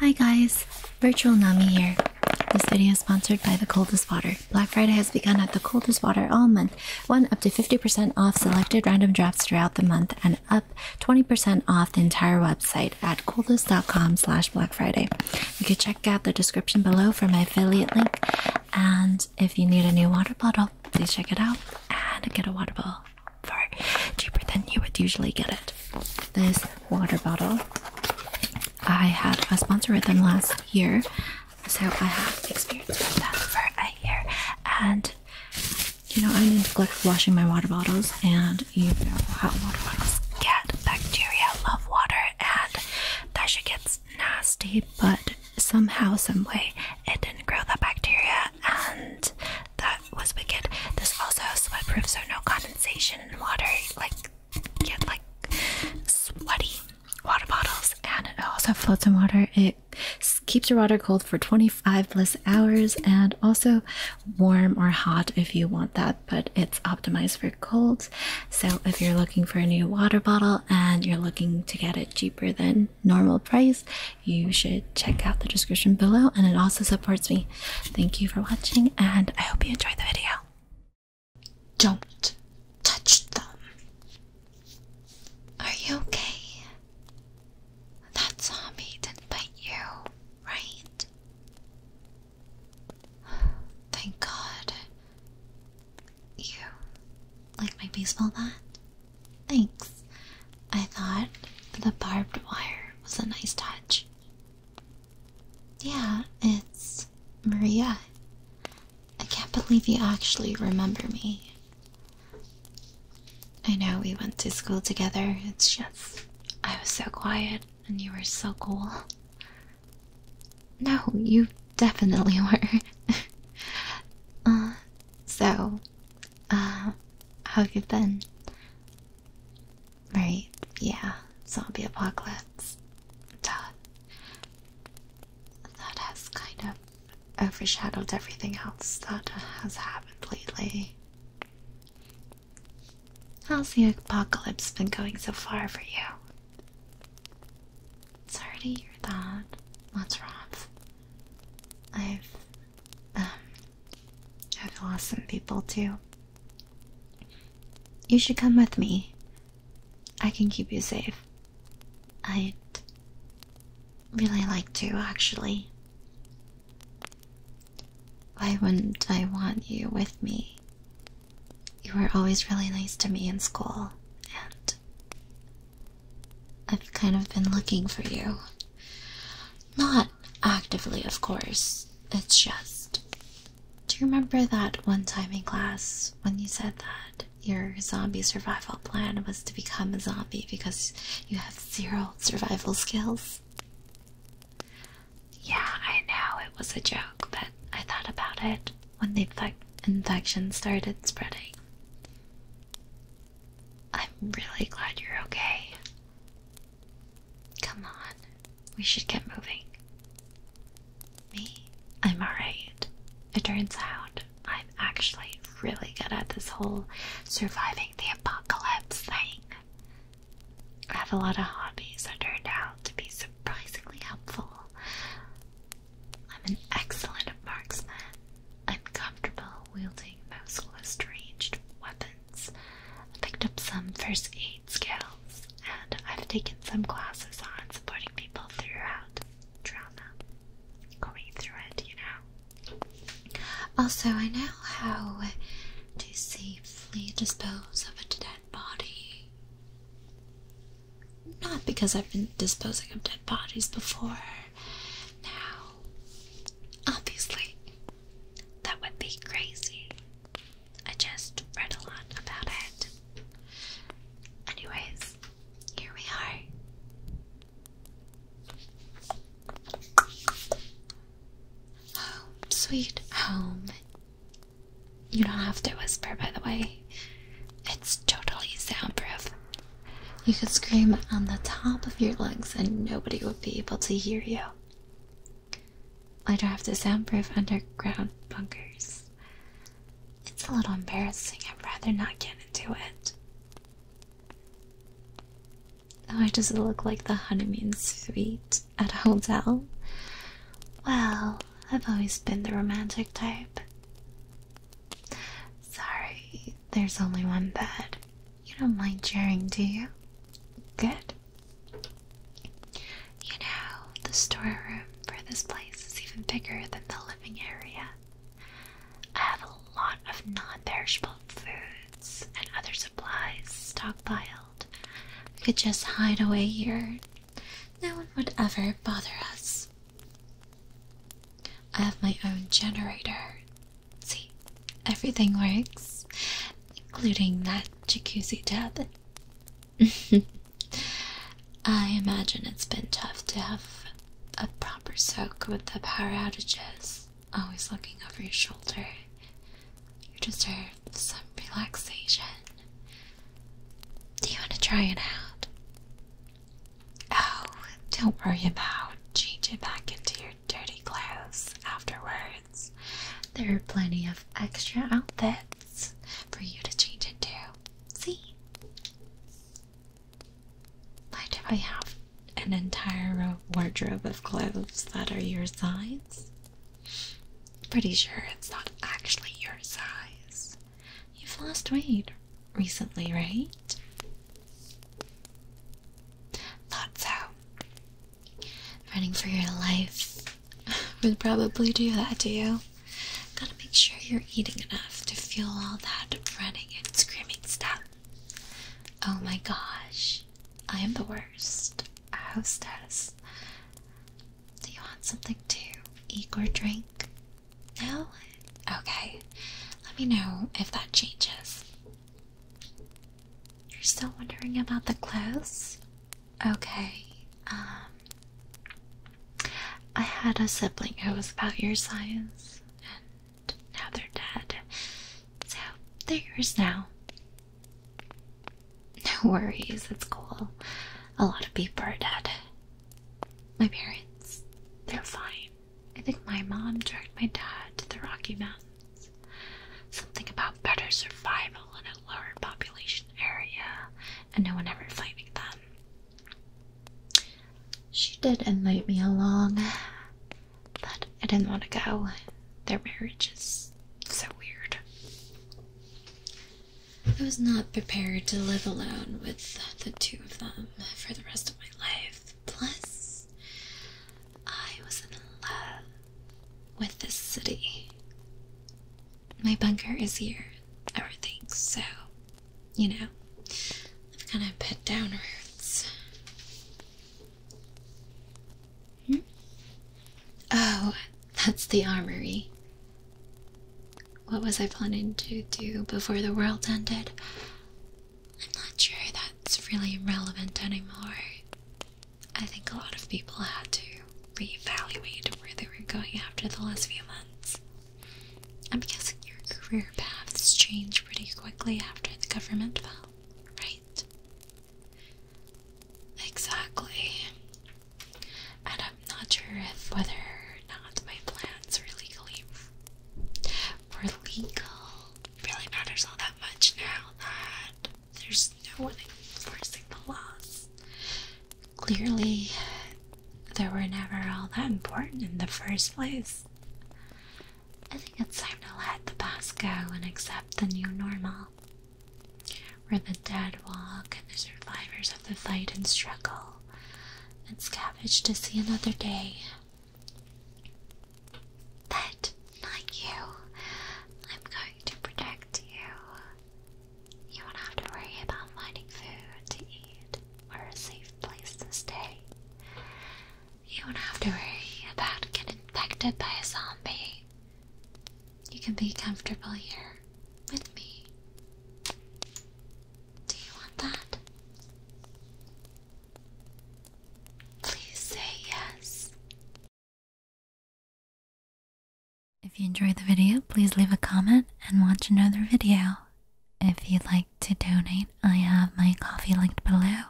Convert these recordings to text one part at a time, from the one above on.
Hi guys, Virtual Nami here. This video is sponsored by The Coldest Water. Black Friday has begun at The Coldest Water all month. One up to 50% off selected random drops throughout the month and up 20% off the entire website at coldest.com slash Black Friday. You can check out the description below for my affiliate link. And if you need a new water bottle, please check it out and get a water bottle far cheaper than you would usually get it. This water bottle, I had a sponsor with them last year, so I have experience with them for a year. And you know, I neglect washing my water bottles, and you know how water bottles get bacteria, love water, and that shit gets nasty. But somehow, some way, it didn't grow that bacteria, and that was wicked. This also has sweat proof, so no condensation and water. Like get like sweaty water bottles, and it also floats in water. It keeps your water cold for 25 plus hours, and also warm or hot if you want that. But it's optimized for cold. So if you're looking for a new water bottle and you're looking to get it cheaper than normal price, you should check out the description below, and it also supports me. Thank you for watching, and I hope you enjoyed the video. Don't touch them. Are you okay? That zombie didn't bite you, right? Thank God. You like my baseball bat? Thanks. I thought the barbed wire was a nice touch. Yeah, it's Maria. I can't believe you actually remember me. I know we went to school together, it's just I was so quiet and you were so cool. No, you definitely were. uh, so, uh, how have you been? Right, yeah, zombie apocalypse. Duh. That has kind of overshadowed everything else that has happened lately. How's the apocalypse been going so far for you? It's already hear that. What's wrong? I've um, I've lost some people too. You should come with me. I can keep you safe. I'd really like to, actually. Why wouldn't I want you with me? You were always really nice to me in school, and I've kind of been looking for you not actively, of course. It's just. Do you remember that one time in class when you said that your zombie survival plan was to become a zombie because you have zero survival skills? Yeah, I know it was a joke, but I thought about it when the infection started spreading. I'm really glad you're okay. Come on, we should get moving. Me? I'm alright. It turns out I'm actually really good at this whole surviving the apocalypse thing. I have a lot of hobbies that turn out to be surprisingly helpful. I'm an excellent marksman. I'm comfortable wielding most long-ranged weapons. I picked up some first aid skills, and I've taken some classes on supporting people throughout trauma. Going through it, you know. Also, I know how to safely dispose of a dead body. Not because I've been disposing of dead bodies before. Now, obviously, that would be crazy. I just read a lot about it. Anyways, here we are. Home, sweet home. You don't have to whisper, by the way, it's totally soundproof. You could scream on the top of your lungs and nobody would be able to hear you later after soundproof underground bunkers. It's a little embarrassing. I'd rather not get into it. Or does it look like the honeymoon suite at a hotel? Well, I've always been the romantic type. Sorry, there's only one bed. You don't mind sharing, do you? Good. You know, the storeroom for this place is even bigger than the living area. I have a lot of non perishable foods and other supplies stockpiled. We could just hide away here. No one would ever bother us. I have my own generator See, everything works, including that jacuzzi tub. I imagine it's been tough to have a proper soak with the power outages, always looking over your shoulder. You deserve some relaxation. Do you want to try it out? Oh, don't worry about changing back into your dirty clothes afterwards. There are plenty of extra outfits for you to change into. See? Why do I have an entire wardrobe of clothes that are your size? Pretty sure it's not actually your size. You've lost weight recently, right? Not so running for your life would probably do that to you. Gotta make sure you're eating enough to fuel all that running and screaming stuff. Oh my gosh, I am the worst a hostess. Do you want something to eat or drink? No? Okay, let me know if that changes. You're still wondering about the clothes? Okay, um, I had a sibling who was about your size, and now they're dead. So, they're yours now. No worries, that's cool. A lot of people are dead. My parents, they're fine. I think my mom dragged my dad to the Rocky Mountains. Something about better survival in a lower population area and no one ever finding them. She did invite me along, but I didn't want to go. Their marriage is so weird. I was not prepared to live alone with the two of them for the rest of my life. Plus, I was in love with this city. My bunker is here, everything, so, you know, I've kind of put down roots. Hmm? Oh, that's the armory. What was I planning to do before the world ended? I'm not sure that's really relevant anymore. I think a lot of people had to reevaluate where they were going after the last few months. I'm guessing your career paths changed pretty quickly after the government fell, right? Exactly. And I'm not sure if whether or not my plans were legally were legal really matters all that much now that there's no one enforcing the laws. Clearly, they were never all that important in the first place. I think it's time to let the past go and accept the new normal, where the dead walk and the survivors of the fight and struggle and scavenge to see another day. But not you. I'm going to protect you. You won't have to worry about finding food to eat or a safe place to stay. You won't have to worry about getting infected by a zombie. You can be comfortable here with me. Do you want that? Please say yes. If you enjoyed the video, please leave a comment and watch another video. If you'd like to donate, I have my coffee linked below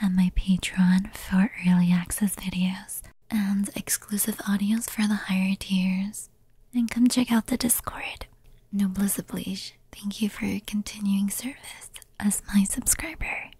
and my Patreon for early access videos and exclusive audios for the higher tiers. And come check out the Discord. Noblesse oblige, thank you for your continuing service as my subscriber.